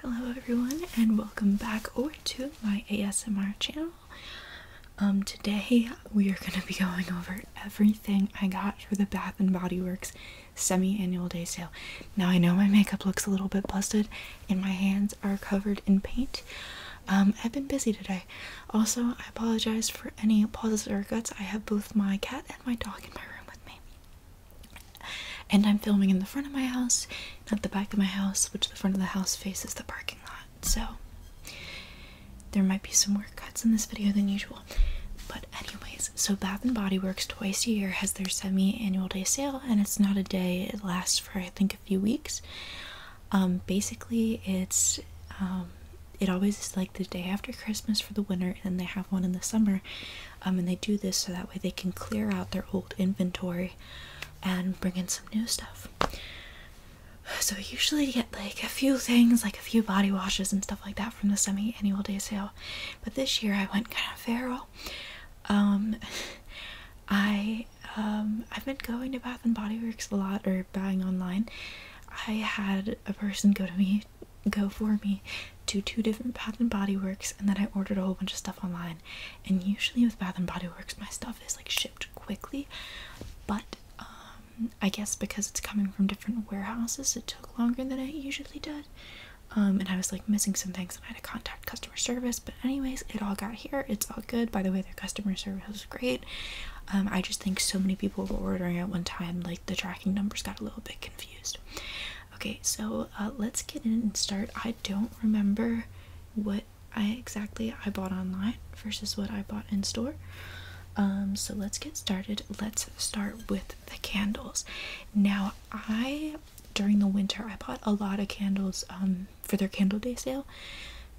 Hello everyone and welcome back over to my ASMR channel. Um, today we are going to be going over everything I got for the Bath and Body Works semi-annual day sale. Now I know my makeup looks a little bit busted and my hands are covered in paint. Um, I've been busy today. Also, I apologize for any pauses or cuts. I have both my cat and my dog in my room with me. And I'm filming in the front of my house, not the back of my house, which the front of the house faces the parking lot. So, there might be some more cuts in this video than usual. But, anyways, so Bath and Body Works twice a year has their semi annual day sale, and it's not a day, it lasts for I think a few weeks. Um, basically, it's um, it always is like the day after Christmas for the winter, and then they have one in the summer. Um, and they do this so that way they can clear out their old inventory and bring in some new stuff. So, usually you get like a few things, like a few body washes and stuff like that from the semi annual day sale. But this year I went kind of far Um, I, um, I've been going to Bath and Body Works a lot or buying online. I had a person go to me go for me to two different Bath and Body Works and then I ordered a whole bunch of stuff online and usually with Bath and Body Works my stuff is like shipped quickly but um I guess because it's coming from different warehouses it took longer than it usually did um and I was like missing some things and I had to contact customer service but anyways it all got here it's all good by the way their customer service great. Um, I just think so many people were ordering at one time, like the tracking numbers got a little bit confused. Okay, so uh, let's get in and start. I don't remember what I exactly I bought online versus what I bought in store. Um, so let's get started. Let's start with the candles. Now, I during the winter I bought a lot of candles um, for their candle day sale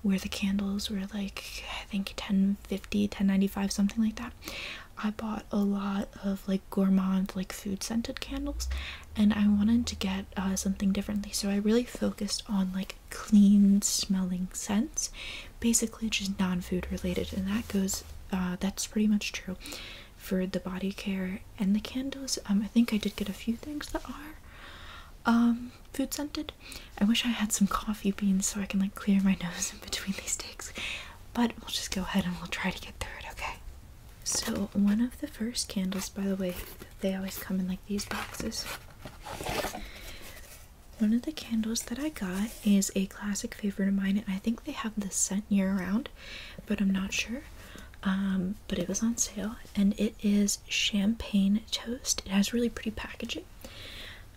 where the candles were like I think 10 1050 1095 something like that i bought a lot of like gourmand like food scented candles and i wanted to get uh, something differently so i really focused on like clean smelling scents basically just non-food related and that goes uh, that's pretty much true for the body care and the candles um, i think i did get a few things that are um, food scented I wish I had some coffee beans so I can like clear my nose in between these takes. But we'll just go ahead and we'll try to get through it, okay? So one of the first candles, by the way, they always come in like these boxes. One of the candles that I got is a classic favorite of mine, and I think they have the scent year-round, but I'm not sure. Um, but it was on sale, and it is champagne toast. It has really pretty packaging.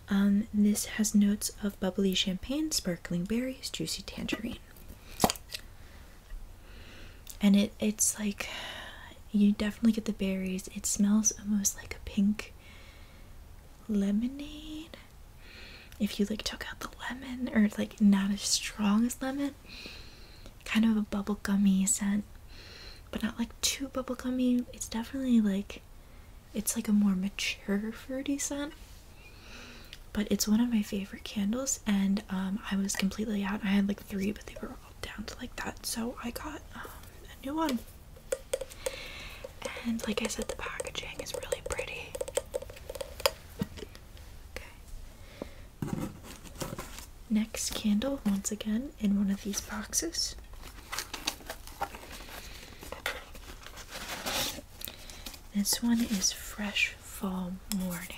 Um, this has notes of bubbly champagne, sparkling berries, juicy tangerine. And it it's like you definitely get the berries. It smells almost like a pink lemonade. If you like took out the lemon or like not as strong as lemon, kind of a bubblegummy scent, but not like too bubblegummy. It's definitely like it's like a more mature fruity scent, but it's one of my favorite candles. And um, I was completely out. I had like three, but they were all down to like that, so I got um, a new one. And like I said, the packaging is really pretty. Okay. Next candle, once again, in one of these boxes. This one is Fresh Fall Morning.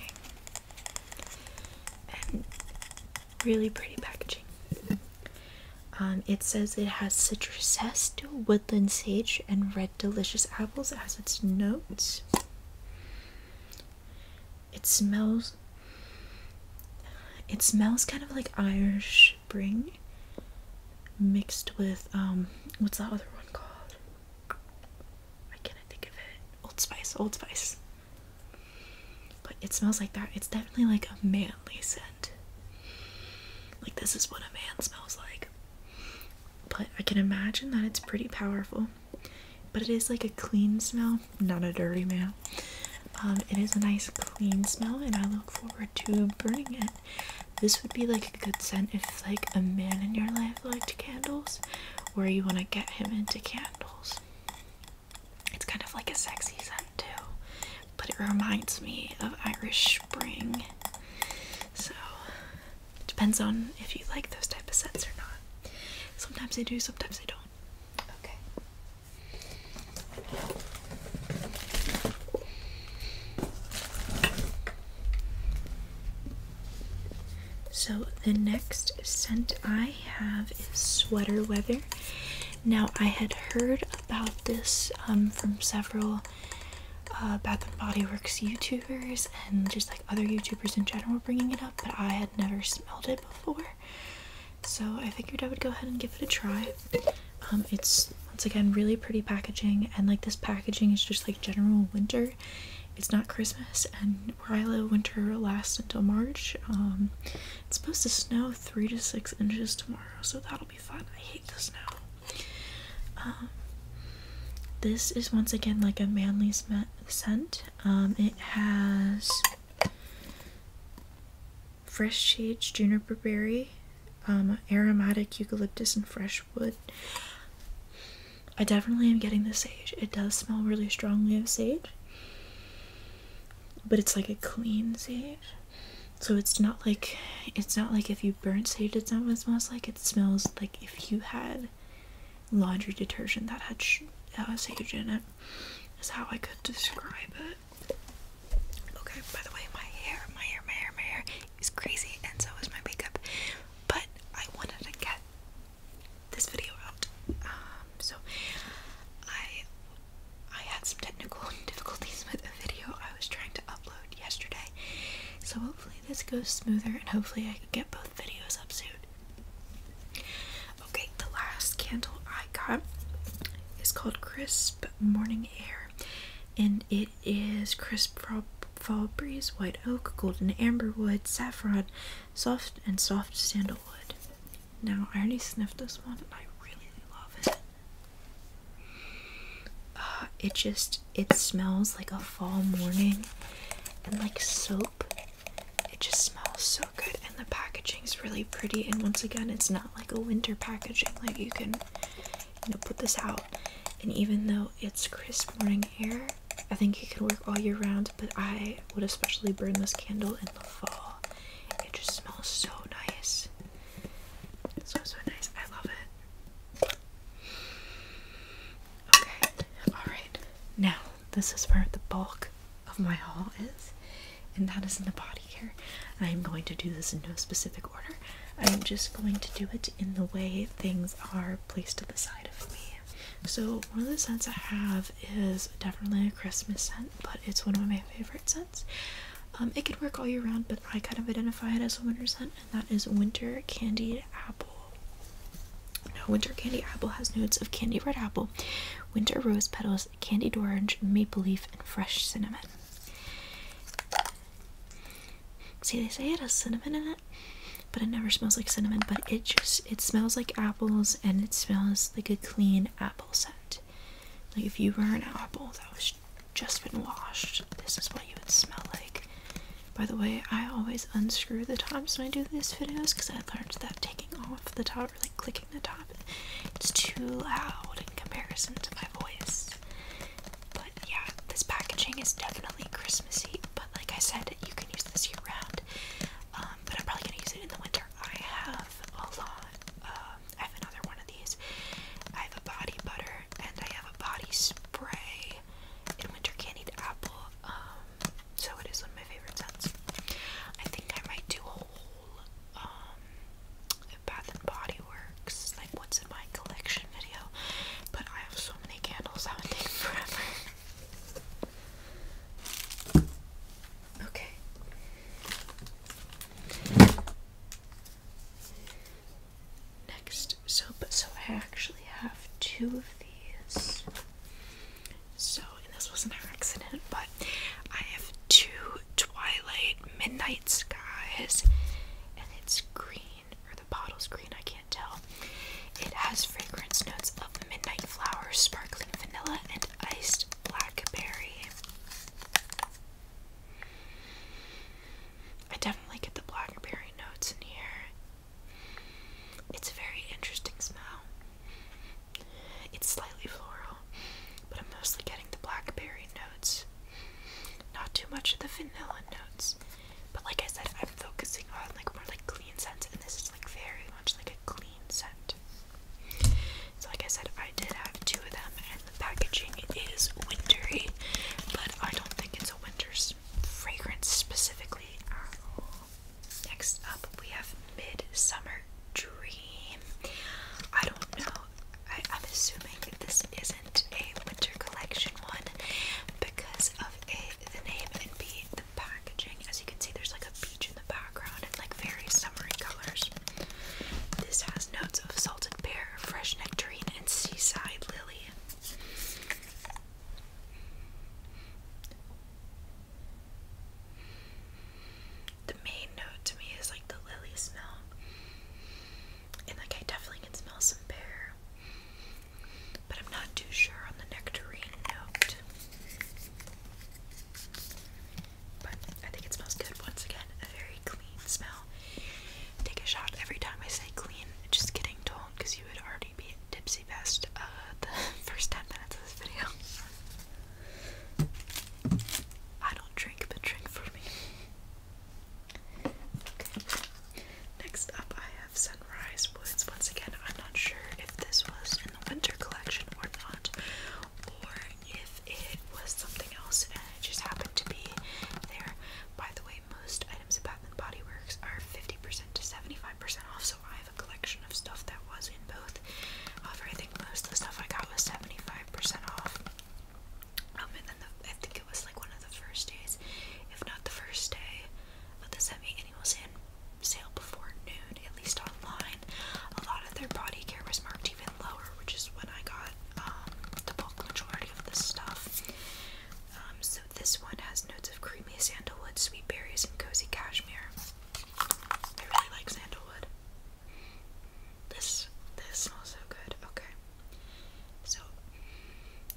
really pretty packaging. Um, it says it has citrus zest, woodland sage, and red delicious apples as its notes. It smells. It smells kind of like Irish spring mixed with um what's that other one called? Why can think of it? Old Spice, Old Spice. But it smells like that. It's definitely like a manly scent. Like this is what a man smells like. But I can imagine that it's pretty powerful. But it is like a clean smell, not a dirty man. Um, it is a nice clean smell, and I look forward to burning it. This would be like a good scent if like a man in your life liked candles, or you want to get him into candles. It's kind of like a sexy scent too, but it reminds me of Irish Spring. So depends on if you like those type of scents or not. Sometimes they do, sometimes they don't. Okay. So the next scent I have is Sweater Weather. Now I had heard about this um, from several uh, Bath and Body Works YouTubers and just like other YouTubers in general bringing it up, but I had never smelled it before. So I figured I would go ahead and give it a try. Um, it's once again really pretty packaging, and like this packaging is just like general winter. It's not Christmas, and where I live, winter lasts until March. Um, it's supposed to snow three to six inches tomorrow, so that'll be fun. I hate the snow. Um, this is once again like a manly scent. it has Fresh sage, juniper berry, um, aromatic eucalyptus, and fresh wood. I definitely am getting the sage. It does smell really strongly of sage, but it's like a clean sage. So it's not like it's not like if you burnt sage, it's not what it smells like. It smells like if you had laundry detergent that had that was uh, sage in it. Is how I could describe it. Okay, by the way, my hair, my hair, my hair, my hair is crazy, and so is my makeup. But I wanted to get this video out. Um, so I I had some technical difficulties with a video I was trying to upload yesterday. So hopefully this goes smoother and hopefully I can get both videos up soon. Okay, the last candle I got is called Crisp Morning Air, and it is crisp fall, breeze, white oak, golden amberwood, saffron, soft and soft sandalwood. Now, I already sniffed this one, and I really love it. Uh, it just it smells like a fall morning and like soap. It just smells so good, and the packaging is really pretty. And once again, it's not like a winter packaging. Like you can, you know, put this out, and even though it's crisp morning air, I think you can work all year round. But I would especially burn this candle in the fall. It just smells so nice. So so nice. I love it. Okay, all right. Now this is where the bulk of my haul is, and that is in the body here. I'm going to do this in no specific order. I'm just going to do it in the way things are placed to the side of me. So one of the scents I have is definitely a Christmas scent, but it's one of my favorite scents. Um, it could work all year round, but I kind of identify it as a winter scent, and that is winter candied apple. Now winter candied apple has notes of candy red apple, winter rose petals, candied orange, maple leaf, and fresh cinnamon. See, they say it has cinnamon in it, but it never smells like cinnamon. But it just it smells like apples, and it smells like a clean apple scent. Like if you were an apple that was just been washed, this is what you would smell like. By the way, I always unscrew the tops when I do these videos because I learned that taking off the top, like clicking the top. It's too loud in comparison to my voice. But yeah, this packaging is definitely Christmassy. But like I said, you can use this year round. Um, but I'm probably gonna use it in the winter. I have a lot. Um, I have another one of these. I have a body butter and I have a body spray in winter candied apple. Um, so it is one of my favorite scents. I think I might do a whole um, Bath and Body Works, like what's in my collection video, but I have so many candles okay. Next soap. So I actually have two of these. So and this was an accident, but I have two Twilight Midnight Skies, and it's green, or the bottle's green, I can't tell. It has fragrance notes of midnight flowers, sparkling vanilla, and iced blackberry. I definitely get the blackberry notes in here. It's a very interesting smell. It's slightly floral, but I'm mostly getting the blackberry notes. Not too much of the vanilla notes. But like I said, I'm focusing on like more like clean scents, and this is like very much like a clean scent. So like I said, I did have two of them, and the packaging is wintry, but I don't think it's a winter fragrance specifically Next up, we have of Midsummer Dream. I don't know. I, am assuming that this isn't a winter collection one because of A, the name, and B, the packaging. As you can see, there's like a beach in the background and like very summery colors. This has notes of salted pear, fresh nectarine, and seaside lily the main note to me is like the lily smell. And like I definitely can smell some pear. But I'm not too sure on the nectarine note. But I think it smells good once again. A very clean smell. Take a shot every time I say clean. Just getting told because you would already be tipsy best uh, the first 10 minutes of this video. I don't drink, but drink for me. Okay. Next up, I have Sunrise Woods. Once again, I'm not sure if this was in the winter collection or not, or if it was something else and it just happened to be there. By the way, most items at Bath and Body Works are 50% to 75% off, so I a collection of stuff that was in both. I think most of the stuff I got was 75% off. Um, and then I think it was like one of the first days, if not the first day, of the semi annual sale before noon, at least online. A lot of their body care was marked even lower, which is when I got um, the bulk majority of this stuff. Um, so this one has notes of creamy sandalwood, sweet berries, and cozy cashmere. I really like sandalwood. This this smells so good. Okay. So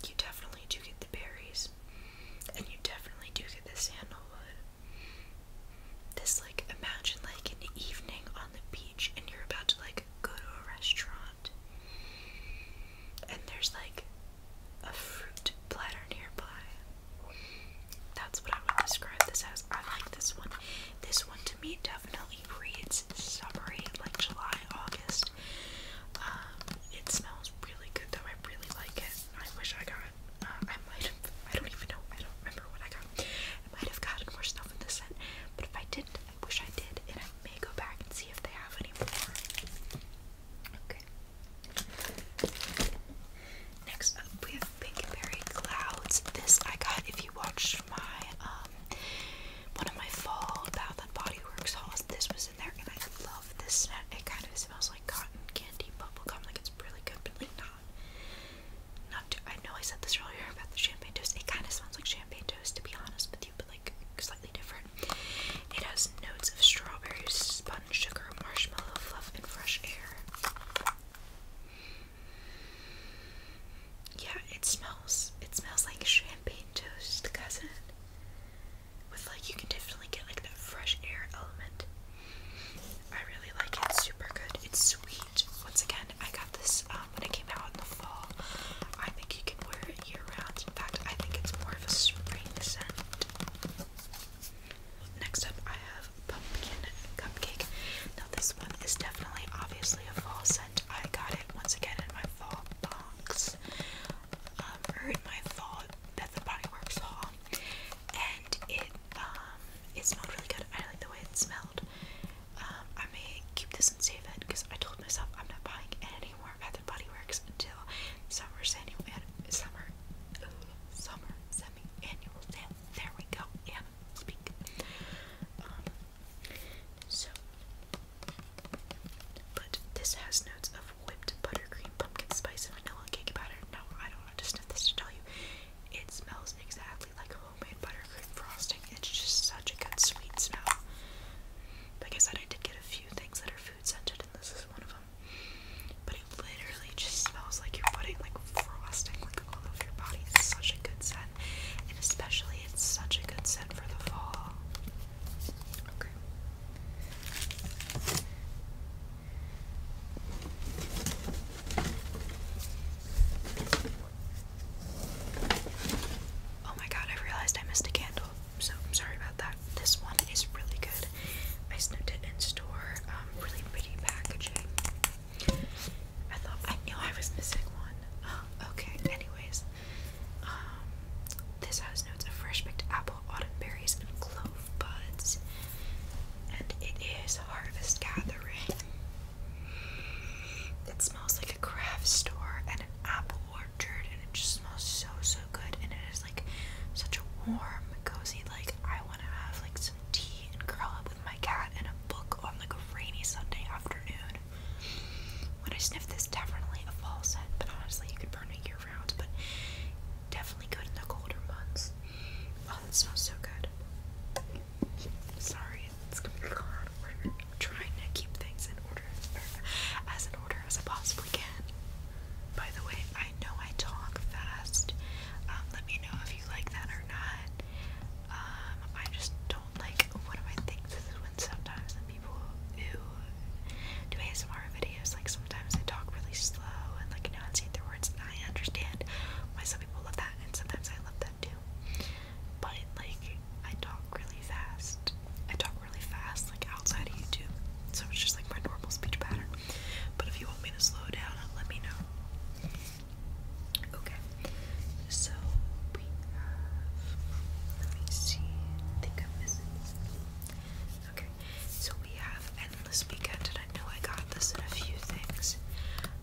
you definitely do get the berries. And you definitely do get the sandalwood. This like imagine like an evening on the beach and you're about to like go to a restaurant. And there's like a fruit platter nearby. That's what I would describe this as. I like this one. This one to me definitely reads summery, like July, August. Um, it smells really good though. I really like it. I wish I got. Uh, I might I don't even know. I don't remember what I got. I might have gotten more stuff in the scent, but if I didn't, I wish I did, and I may go back and see if they have any more. Okay. Next up, we have Pink Berry Clouds. This I got if you watched my um, one of my fall Bath and Body Works hauls. This was in there, and I love this scent. It kind of smells like cotton candy bubble gum. Like it's really good, but like not. Not too, I know I said this earlier about the champagne toast. It kind of smells like champagne toast, to be honest with you, but like slightly different. It has notes of strawberries, sponge sugar, marshmallow, fluff, and fresh air. Yeah, it smells. It smells like champagne toast, cousin. With like, you can definitely get like the fresh air element. I really like it. super good. It's sweet. Once again, I got this um, when it came out in the fall. I think you can wear it year round. In fact, I think it's more of a spring scent. Next up, I have pumpkin cupcake. Now this one is definitely obviously a fall scent. I got it once again in my fall box. Um, or in my fall Bath and Body Works haul. And it um it smelled really good. I like the way it smelled. Um, I may keep this in save it because I told myself I'm not buying any more Bath and Body Works until summer summer summer summer semi There we go. Yeah, speak. Um, so, but this has notes of whipped buttercream, pumpkin spice, and vanilla cake batter. No, I don't want to sniff this to tell you. It smells exactly like homemade buttercream frosting. It's just such a good sweet smell. Like I said, I did get a few things that are food scented, and this is one of them. But it literally just smells like you're putting like frosting like all over your body. It's such a good scent. And especially it's such a good scent for the fall. Okay. Oh my god, I realized I missed a candle. So sorry about that. This one is really good. I snipped it in store. Um, really pretty packaging. I thought I knew I was missing one. Oh, okay. Anyways, um, this has notes of fresh picked apple, autumn berries, and clove buds, and it is harvest gathering. It smells like a craft store and an apple orchard, and it just smells so so good. And it is like such a warm, cozy like I want to have like some tea and curl up with my cat and a book on like a rainy Sunday afternoon. When I sniff this, definitely a fall scent, but honestly, you could burn it year round, but definitely good in the colder months. Oh, that smells so good. Sorry, it's gonna trying to keep things in order, as in order as I possibly can. By the way, I know I talk fast. Um, let me know if you like that or not. Um, I just don't like one of my things is when sometimes the people who do ASMR videos, like sometimes they talk really slow and like enunciate their words, and I understand why some people love that, and sometimes I love that too. But like, I talk really fast. I talk really fast, like outside of YouTube so it's just like my normal speech pattern. But if you want me to slow down, uh, let me know. Okay, so we have. Let me see. think I'm missing. Okay, so we have Endless Weekend, and I know I got this in a few things.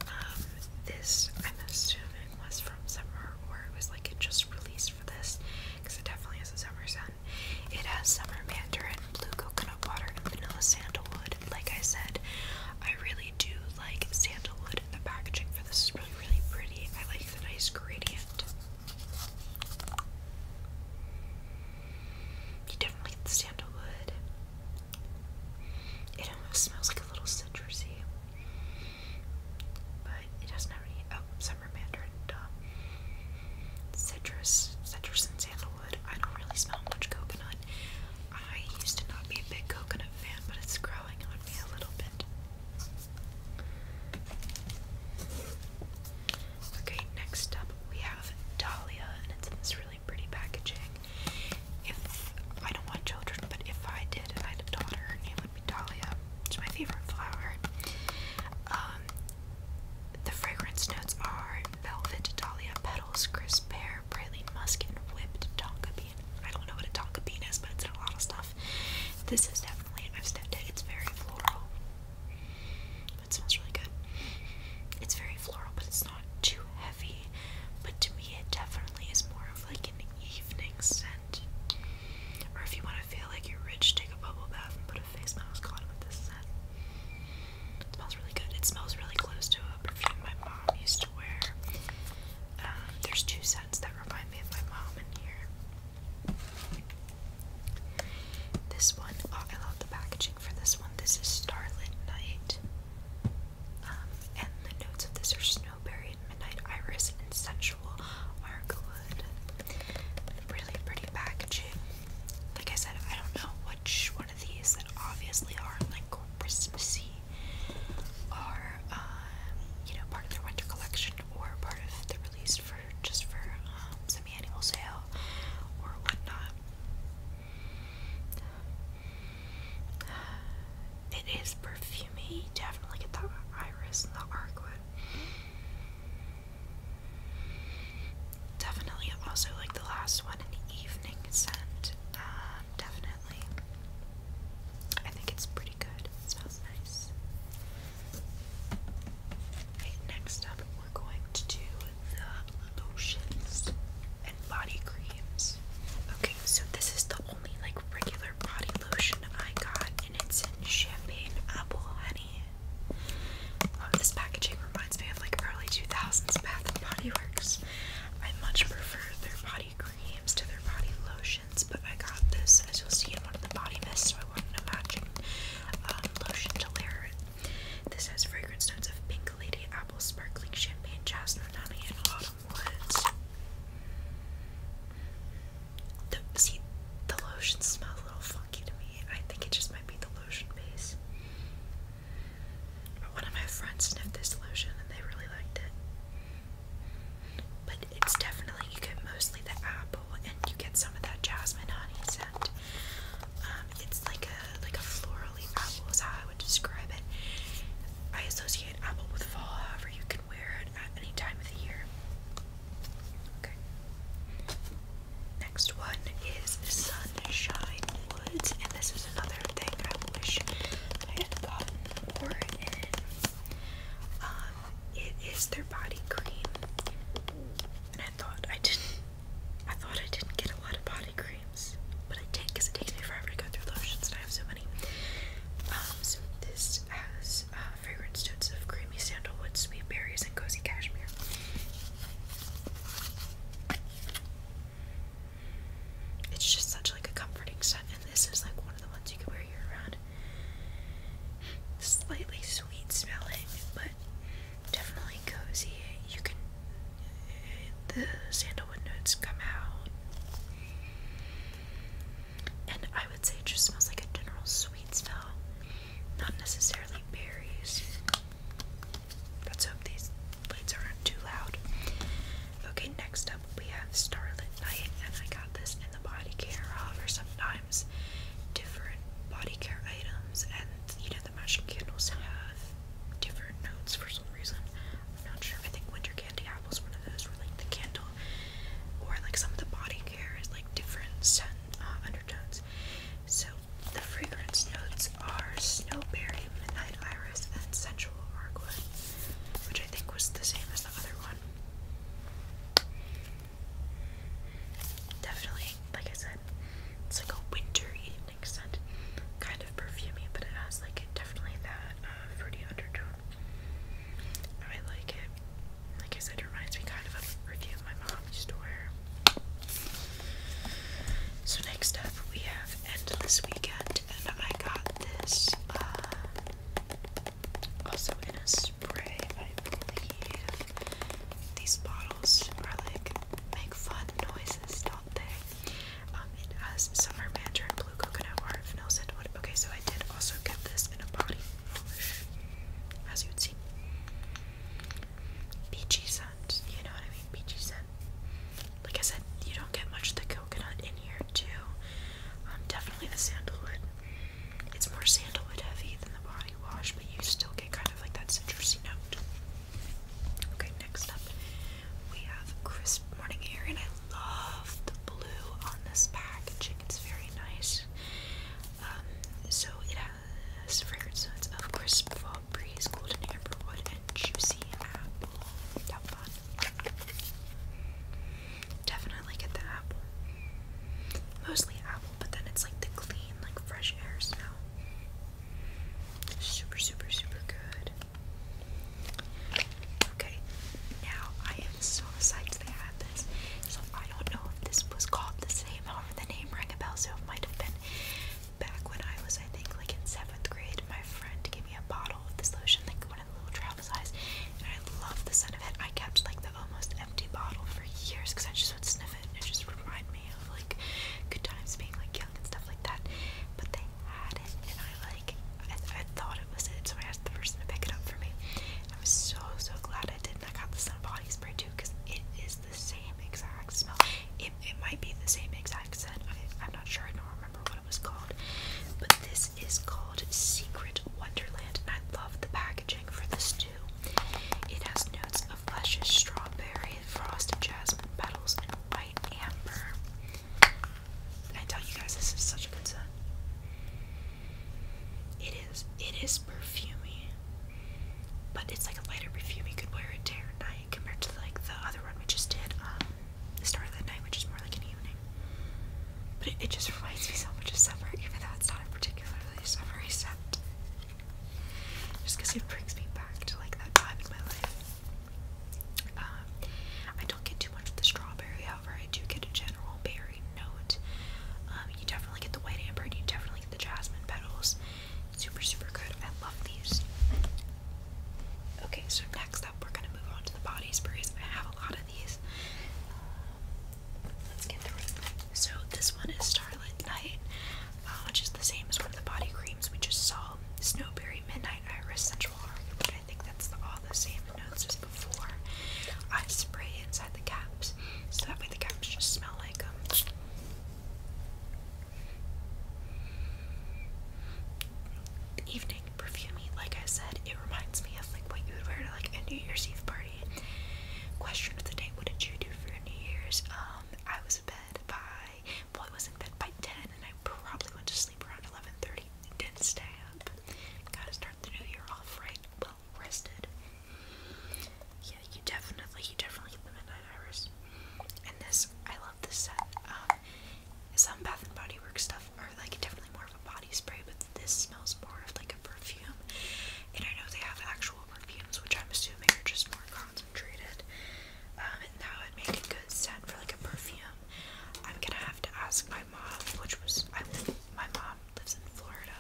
Um, this, I'm assuming, was from summer, or it was like it just released for this, because it definitely has a summer sun. It has summer mandarin blue coconut water vanilla sandalwood. Like I said, I really do like sandalwood. And The packaging for this is really, really pretty. I like the nice gradient. You definitely get the sandalwood. It almost smells like a little citrusy. But it doesn't have any. Oh, summer mandarin. Uh, citrus, citrus and sandalwood. I don't really smell much coconut. I used to not be a big coconut fan, but it's growing on me a little bit. Okay, next up we have Dahlia, and it's in this really pretty packaging. If I don't want children, but if I did and I had a daughter, and it would be Dahlia. It's my favorite flower. Um, the fragrance notes are velvet dahlia petals, crisp pear, praline musk, whipped tonka bean. I don't know what a tonka bean is, but it's in a lot of stuff. This is definitely, I've stepped it, it's very floral. It smells really good. It's very floral, but it's not too heavy. But to me, it definitely is more of like an evening scent. Or if you want to feel like you're rich, take a bubble bath and put a face mask on with this scent. It smells really good. It smells really close to a perfume my mom used to wear. Um, there's two scents that remind me of my mom in here. This one, oh, I love the packaging for this one. This is Starlit Night. Um, and the notes of this are snowberry and midnight iris and sensual are Really pretty packaging like I said, I don't know which one of these that obviously are like Christmassy are, um, you know, part of their winter collection or part of the release for just for um, semi-annual sale or whatnot. It is perfumey, definitely get the iris and the arcwood. Definitely also like the last one an evening scent. Um, definitely. I think it's pretty good. smells nice. next up we're going to do the lotions and body creams. Okay, so this is the only like regular body lotion I got and it's in champagne apple honey. Um, this packaging reminds me of like early 2000s Bath and Body Works. I much prefer their body creams to their body lotions, but I got this, as you'll see in one of the body mists, so I wanted a matching um, lotion to layer it. This has fragrance notes of pink lady, apple, sparkling champagne, jasmine, honey, and autumn woods. The, the lotions smell a little funny. I think it just might be the lotion base. But one of my friends sniffed this lotion and they really liked it. But it's definitely, you get mostly the apple and you get some of that jasmine honey scent. Um, it's like a like a florally apple is how I would describe it. I associate apple with fall, however you can wear it at any time of the year. Okay. Next one is Sunshine Woods, and this is another thing I wish I had gotten more in. Um, it is their body cream, and I thought I didn't. I thought I didn't get a lot of body creams, but I did because it takes me forever to go through lotions, and I have so many. Um, this has uh, fragrance notes of creamy sandalwood, sweet berries, and cozy cashmere. It's just such like a comforting scent, and this is like one of the ones you can wear year round. Slightly sweet smelling, but definitely cozy. You can the sandalwood notes come out, and I would say it just smells like a general sweet smell, not necessarily berries. Let's hope these lights aren't too loud. Okay, next up we have Starlit Night, and I got this in the body care haul sometimes different body care items, and you know the matching candles have different notes for some reason. I'm not sure. I think winter candy apples one of those where like the candle or like some of the body care is like different scent uh, undertones. So the fragrance notes are snowberry, midnight iris, and sensual argwood, which I think was the same as the other one. Definitely, like I said, it's like a winter evening scent, kind of perfumey, but it has like definitely that uh, fruity undertone. I like it. Like I said it reminds me kind of of a my mom used to wear. So next up we have End Weekend, and I got this uh, also in a spray, I believe. These bottles are like, make fun noises, don't they? Um, it has Summer Mandarin, Blue Coconut Water, Vanilla Sandalwood. Okay, so I did also get this in a body polish, as you would see. Beachy scent. You know what I mean? Beachy scent. Like I said, you don't get much of the coconut in here too. Um, definitely the sandalwood. It's more sandalwood heavy than the body wash, but you still get kind of like that citrusy note. Okay, next up we have crisp morning air, and I love the blue on this packaging. It's very nice. Um, so it has has fragrance notes crisp fall breeze, golden amberwood, and juicy apple. Definitely get the apple. Mostly apple, but then it's like the clean, like fresh air smell. Super, super, super good. Okay, now I am so excited they had this. So I don't know if this was called the same the name rang a bell, so it might have been back when I was, I think, like in seventh grade. My friend gave me a bottle of this lotion, like one of the little travel size, and I loved the scent of it. I kept like the almost empty bottle for years because I just would sniff it and it just remind me of like good times being like young and stuff like that. But they had it, and I like I thought it was it, so I asked the person to pick it up for me. I was so so glad I did, and I got the sun body spray too because it is the same exact smell. It, might be the same exact scent. I, am not sure. I don't remember what it was called. But this is called Secret Wonderland, and I love the packaging for this too. It has notes of luscious strawberry, frosted jasmine petals, and white amber. I tell you guys, this is such a good scent. It is. It is perfumey. But it's like a lighter perfume. You could wear it day or night compared to like the other one which just did, um, the start of the night, which is more like an evening. But it, just reminds me so much of summer, even though it's not a particularly summery scent. Just because it brings me back to like that time in my life. Um, I don't get too much of the strawberry, however, I do get a general berry note. Um, you definitely get the white amber, and you definitely the jasmine petals. Super, super good. I love these. Okay, so next up, we're gonna move on to the body sprays. I have a lot of these. Um, so this one is Starlit Night, uh, which is the same as one of the body creams we just saw. Snowberry Midnight Iris Central. Arc, I think that's all the same notes as before. I spray it the caps, so that way the caps just smell like them. Um, evening perfumey, like I said, it reminds me of like what you would wear to like a New Year's Eve party. Question of the day: What did you do for New Year's? Um, I was in bed by well, I was in bed by ten, and I probably went to sleep around eleven thirty. Didn't stay up. Gotta start the new year off right rested. Yeah, you definitely, you definitely get the midnight hours. And this, I love this set. Um, some Bath and Body Works stuff are like definitely more of a body spray, but this smells more of like a perfume. And I know they have actual perfumes, which I'm assuming are just more concentrated. Um, and that would make a good scent for like a perfume. I'm gonna have to ask my mom, which was I my mom lives in Florida,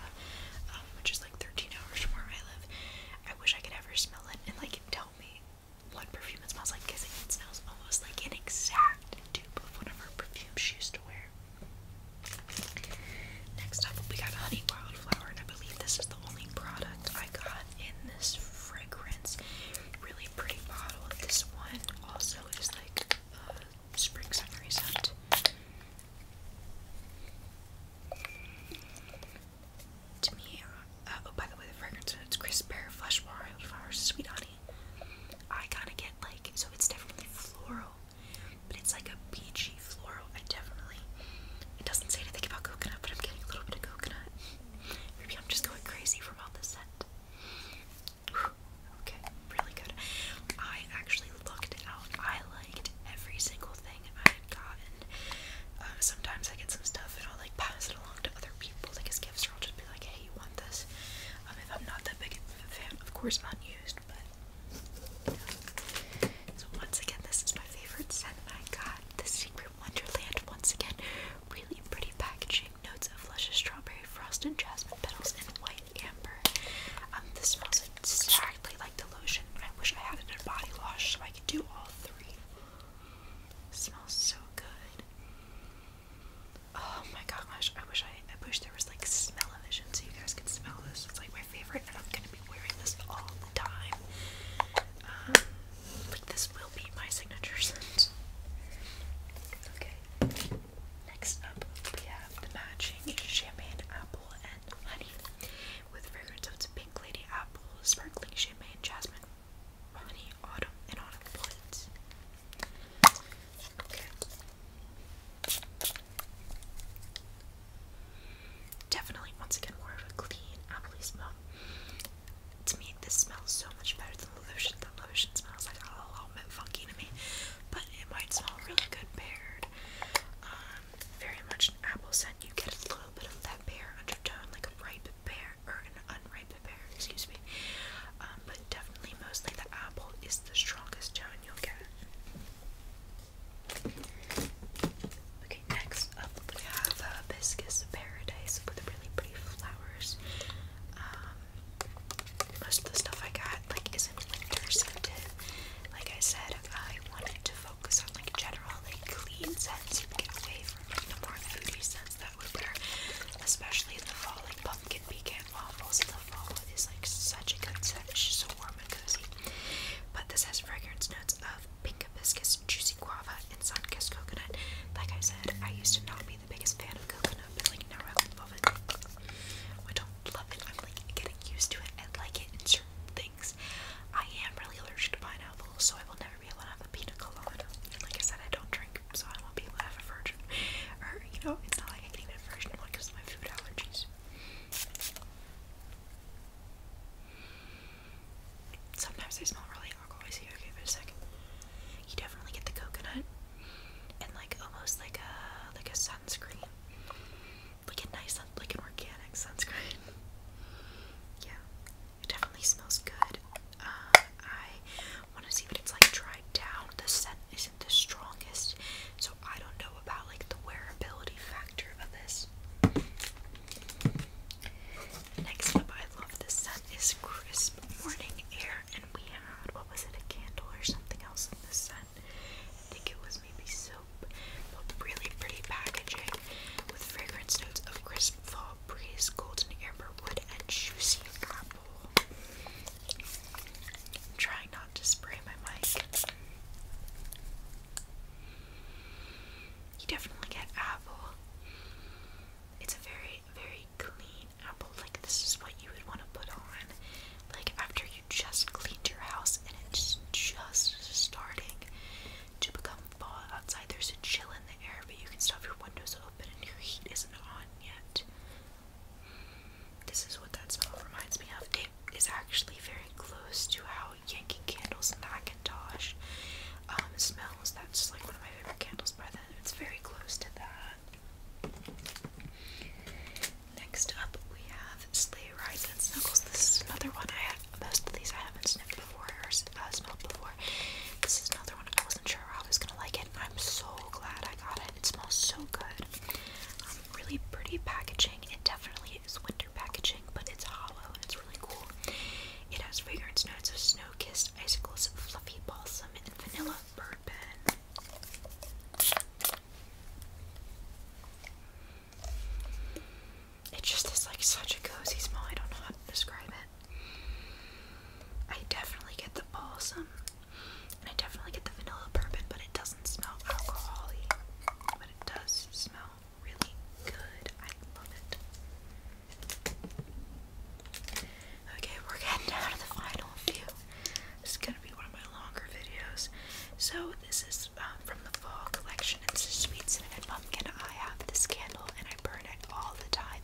um, which is like 13 hours from where I live. I wish I could ever smell it and like tell me what perfume it smells like because it smells almost like an exact dupe of one of her perfumes she used to wear. Next up, we got Honey Wildflower, and I believe this is the only product I got in this fragrance. Really pretty bottle. This one also is like spring summery scent. To me, uh, oh, by the way, the fragrance it's crisp pear, flesh wild sweet honey. I kind of get like, so it's definitely floral, but it's like a peachy floral. I definitely, it doesn't say anything about coconut, but I'm getting a little bit of coconut. Maybe I'm just going crazy from all this scent. Okay, really good. I actually actually looked out. I liked every single thing I had gotten. Um, sometimes I get some stuff and I'll like pass it along to other people, like as gifts, or I'll just be like, hey, you want this? Um, if I'm not that big of a fan, of course I'm unused, but. You know. So, once again, this is my favorite scent I got the Secret Wonderland. Once again, really pretty packaging, notes of luscious strawberry frost and jasmine petals, and white amber. Um, this smells exactly like the lotion. I wish I had it in a body wash so I can do all three. It smells so good. Oh my gosh, I wish I I wish there was like smell o vision so you guys could smell this. It's like my favorite and I'm gonna be wearing this all the time. Um, like this will be my signature scent. Okay. Next up we have the matching champagne apple honey, with fragrance of pink lady apple, sparkling champagne, jasmine, honey, autumn, and autumn bullets. Definitely, once again, more of a clean apple smell. To me, this smells so much better than the lotion. The lotion smells like a little bit funky to me, but it might smell really good paired. Um, very much an apple scent. You get a little bit of that pear undertone, like a ripe pear or an unripe pear, excuse me. Um, but definitely, mostly the apple is the strongest tone you'll get. Okay, next up we have uh, Hibiscus Paradise with really pretty flowers. Um, most of the stuff I got like is like I said, I wanted to focus on like general like clean scents and get away from like, the more foodie scents that we wear, especially in the fall. Like pumpkin pecan waffles in the fall is like such a good scent. It's just so warm and cozy. But this has fragrance notes of pink hibiscus, juicy guava, and sun coconut. Like I said, I used to not be the biggest fan of coconut, but like now I love it. Oh, I don't love it. I'm like getting used to it. I like it in certain things. I am really allergic to pineapple, so I will never be able to have a pina colada. Like I said, I don't drink, so I won't be able to have a virgin. Or, you know, it's not like I can even version one because of my food allergies. Sometimes they smell really I alcoholisy. Okay, for a second. You definitely get the coconut and like almost like a like a sunscreen like a nice, like an organic sunscreen. Yeah, it definitely smells good. Uh, I want to see what it's like dried down. The scent isn't the strongest, so I don't know about like the wearability factor of this. Next up, I love the scent is crisp morning air, and we had what was it, a candle or something else in this scent. I think it was maybe soap, but really pretty packaging with fragrance notes of crisp fall breeze, golden amber wood, and juicy apple. I'm trying not to spray my mic. You definitely get apple. It's a very, very clean apple. Like, this is what you would want to put on like after you just cleaned your house and it's just starting to become fall outside. There's a chill in the air, but you can still have your windows open and your heat isn't on yet. This is what that smell reminds me of. It is actually very close to how Yankee Candles Macintosh um, smells. That's like one of my favorite candles by then. It's very close to that. Next up, we have Sleigh Rides and Snuggles. This is another one I had. Most of these I haven't sniffed before or uh, smelled before. This is another one I wasn't sure I was gonna like it, I'm so glad I got it. It smells so good. Um, really pretty packaging. It definitely is winter packaging, but it's hollow and it's really cool. It has fragrance notes of snow-kissed icicles, fluffy balsam, and vanilla bourbon. It just is like such a cozy smell. I don't know how to describe it. I definitely get the balsam, and I definitely get the vanilla bourbon, but it doesn't smell alcoholic. But it does smell really good. I love it. Okay, we're getting down to the final few. This is gonna be one of my longer videos. So this is um, from the fall collection. It's a sweet cinnamon pumpkin. I have this candle and I burn it all the time.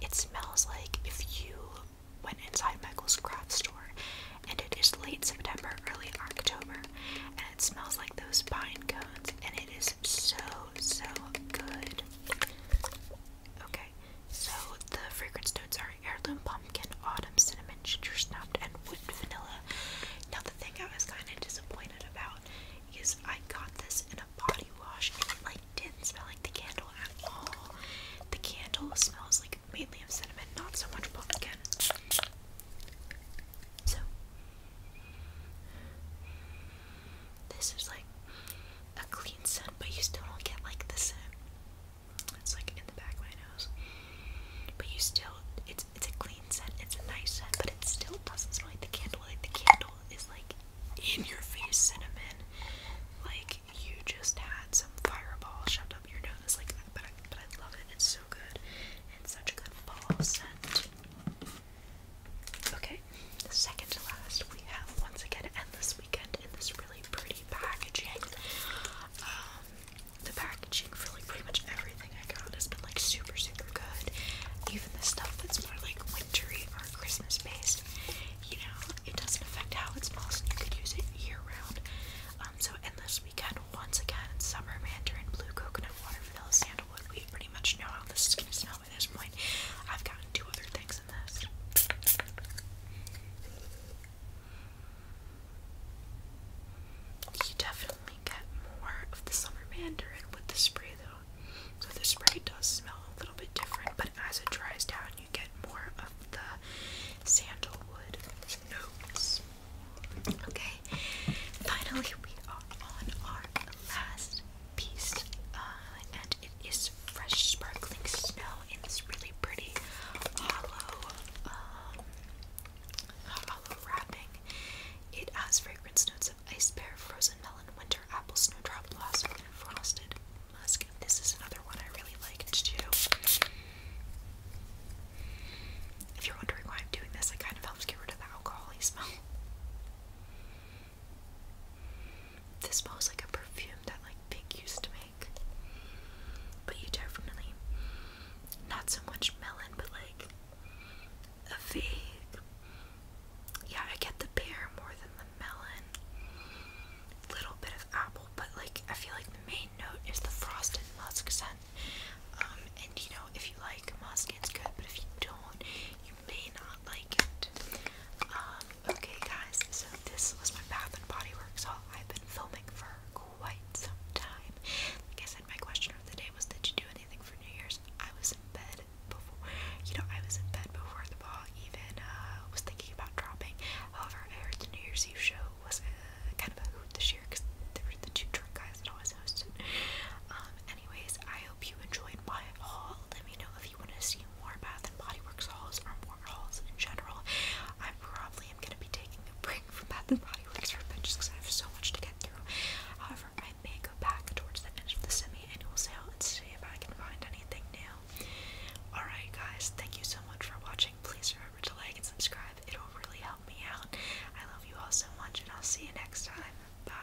It smells like if you went inside Michael's craft store, and it is late September, early October, and it smells like those pine cones, and it is so so good. Okay, so the fragrance notes are heirloom pumpkin, autumn cinnamon, ginger snap, and wood vanilla. Now the thing I was kind of disappointed about is I got this in a body wash and it like didn't smell like the candle at all. The candle smells like mainly of cinnamon, not so much pumpkin. So this is like a clean scent, but you still don't get like the scent. It's like in the back of my nose. But you still, it's it's a clean scent. It's a nice scent, but it still doesn't smell like the candle. Like the candle is like in your face cinnamon. Like you just had some fireball shoved up your nose. Like, but I, but I love it. It's so good. It's such a good fall scent. Okay, second to last, we have once again Endless Weekend in this really pretty packaging. Um, the packaging for like pretty much everything I got has been like super super good. Even the stuff that's more like wintry or Christmas based, you know, it doesn't affect how it smells and you could use it year round. Um, so endless weekend once again, summer mandarin, blue coconut, water vanilla, sandalwood. We pretty much know how this is gonna smell by this point. I've got two other things in this. You definitely get more of the summer mandarin with the spray though. So the spray does smell a little bit different, but as it dries down, you get more of the sandalwood notes. Okay, finally, we are on our last piece, uh, and it is fresh sparkling snow in this really pretty hollow, um, hollow wrapping. It has fragrance notes of ice pear, frozen melon, winter apple, snowdrop blossom, and frosted musk. This is another one I really liked too. If you're wondering why I'm doing this, it kind of helps get rid of the alcoholy smell. This smells like a perfume that like Pink used to make. But you definitely, not so much melon, but like a fig. Yeah, I get the pear more than the melon. Little bit of apple, but like I feel like the main note is the frosted musk scent. Um, and you know, if you like musk, it's good, but if you don't, you may not like it. Um, okay, guys, so this was my Bath and Body Works haul. I've been filming for quite some time. Like I said, my question of the day was, did you do anything for New Year's? I was in bed before, you know, I was in bed before the ball even uh, was thinking about dropping. However, I heard the New Year's Eve show was uh, kind of a hoot this year because there were the two drunk guys that always hosted. Um, anyways, I hope you enjoyed my haul. Let me know if you want to see more Bath and Body Works hauls or overalls in general. I probably am going to be taking a break from Bath and Body Works for a bit just because I have so much to get through. However, I may go back towards the end of the semi-annual sale and see if I can find anything new. Alright guys, thank you so much for watching. Please remember to like and subscribe. It will really help me out. I love you all so much and I'll see you next time. Bye.